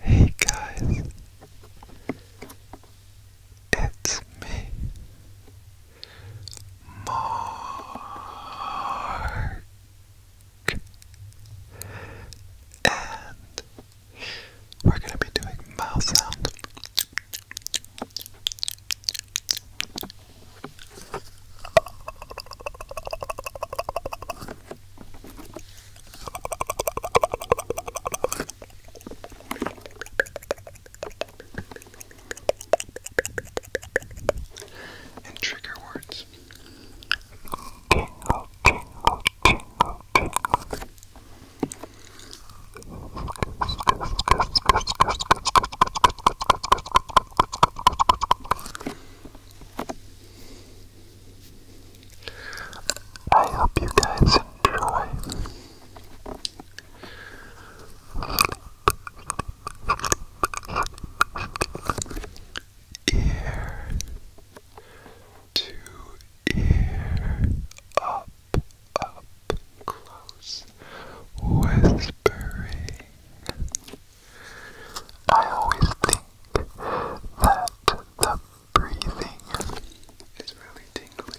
Hey guys, it's me, Mark, and we're going to be doing mouth sound. And trigger words. Tingle, tingle, tingle, tingle. I hope you guys enjoy. Ear to ear, up, up, close, whispering. I always think that the breathing is really tingly.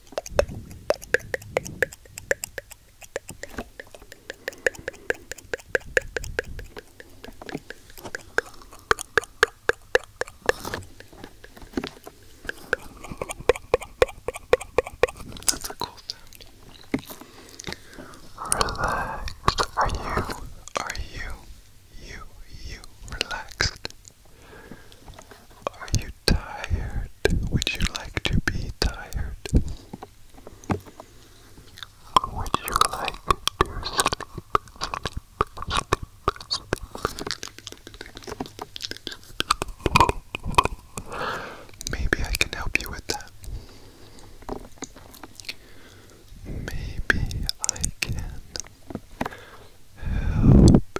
That's a cool sound. Relaxed. Are you? Are you? You? You relaxed? Are you tired? Would you like to be tired? Would you like to sleep? Maybe I can help you with that. Maybe I can help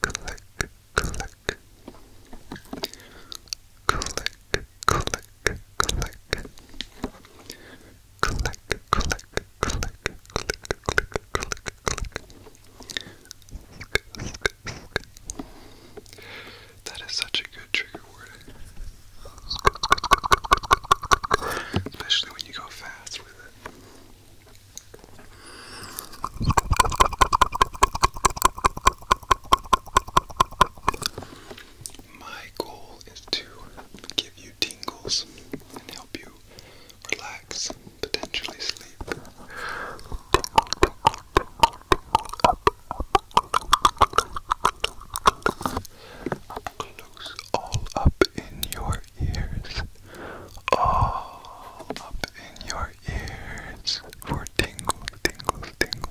click, click. Click, click, click. Click, click, click, click, click, click, click. That is such a good trigger word. Especially when you go fast with it. My goal is to give you tingles and help you relax, potentially sleep. Close all up in your ears, all up in your ears for tingles, tingles, tingles.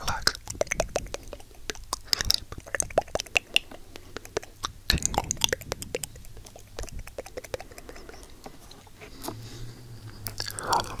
relax, sleep, tingle. Deep, deep ear whispering for intense, intense tingle, tingle, tingle, tingles,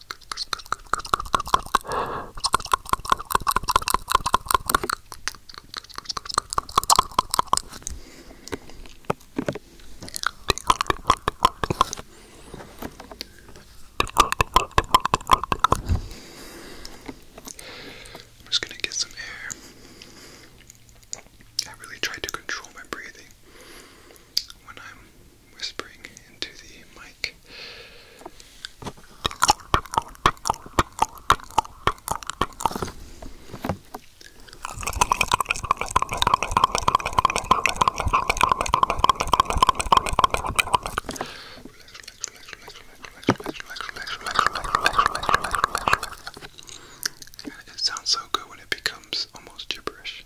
I'm just going to get some air. I really try to control my breathing when I'm whispering into the mic. It sounds so good when it becomes almost gibberish.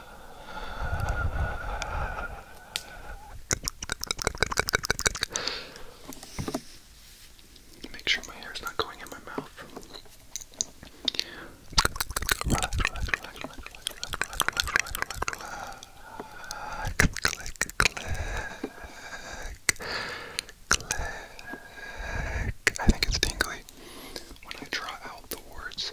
Make sure my hair is not going in my mouth. Relax, relax, relax, relax, relax, Click, click, click, click. I think it's tingly when I draw out the words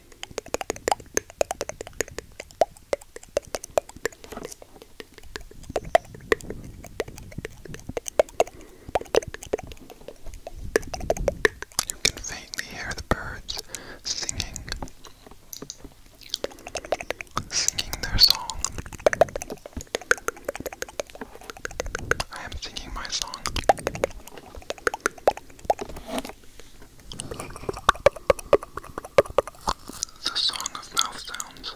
You can faintly hear the birds singing, singing their song. I am singing my song. The Song of Mouth Sounds.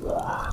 What?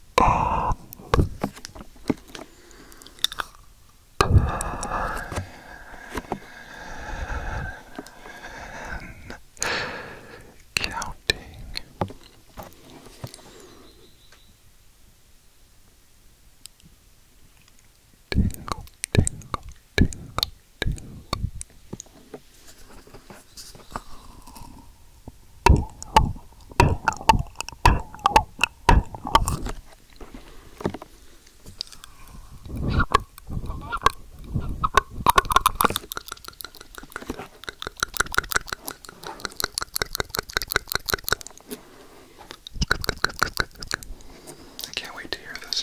on ten counting tingle tingle tingle tingle I can't wait to hear this.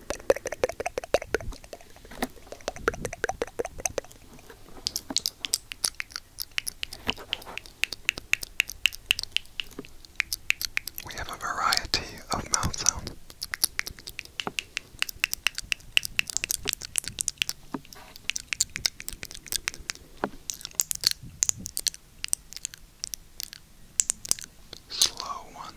We have a variety of mouth sounds. Slow ones,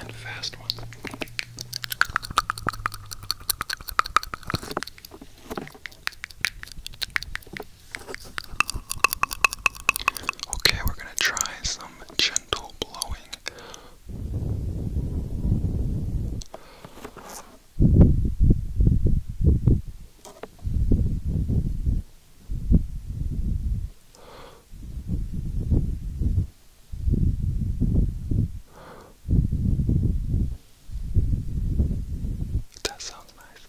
and fast one. Okay, we're going to try some gentle blowing. That sounds nice.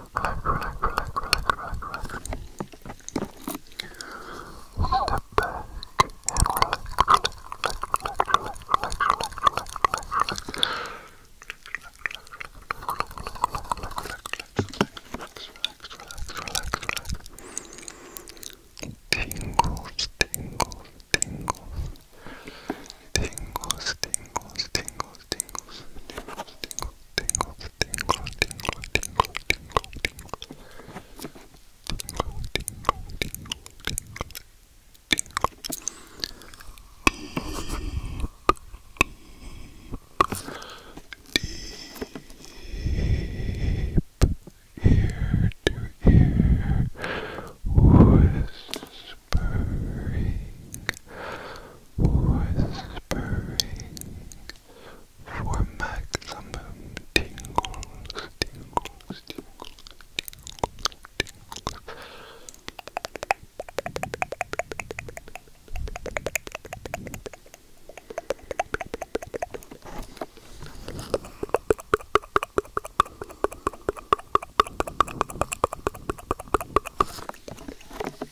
Relax, relax, relax, relax, relax, relax. Step back and relax, relax, relax, relax, relax, relax, relax, relax, relax. Tingles, tingles, tingles. Tingles, tingles, tingles, tingles, tingles, tingles tingles, tingle, deep, ear to ear, Whispering, whispering for maximum tingles, tingles, tingles, tingles, tingles.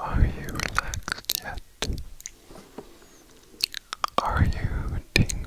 Are you relaxed yet? Are you tingling?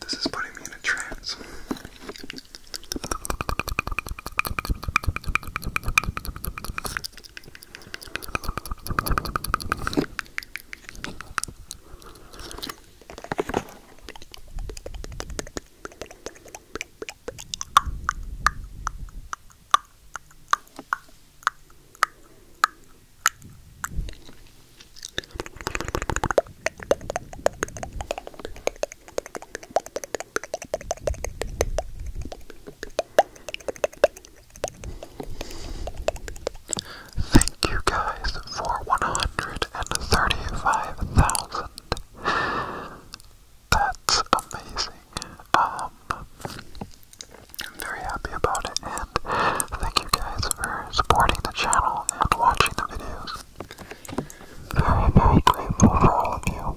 This is putting me in a trance. Thank you guys for 135,000. That's amazing. Um, I'm very happy about it, and thank you guys for supporting the channel all watching the videos. Very, very grateful for all of you.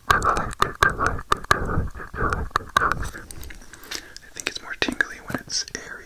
I think it's more tingly when it's airy.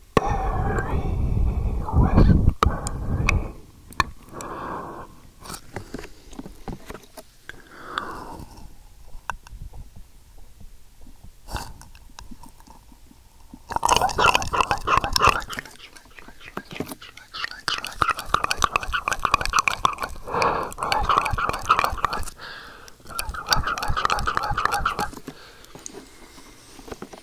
airy whispering. Relax, relax, relax, relax, relax, relax.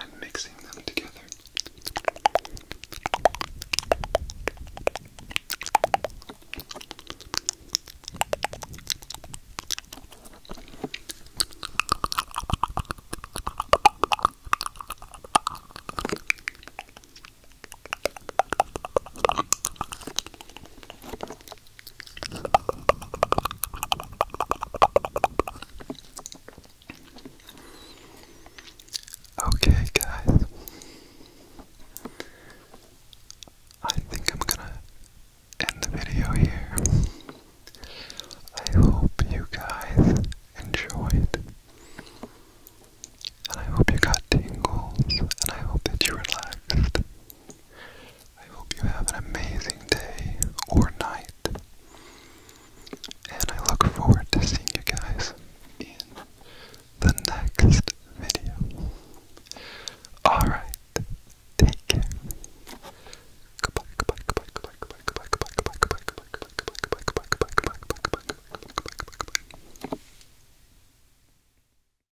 and mixing them together. Okay, guys. I think I'm gonna end the video here. I hope you guys enjoyed. And I hope you got tingles, and I hope that you relaxed. I hope you have an amazing day or night. And I look forward to seeing you guys in the next video. Alright, take care.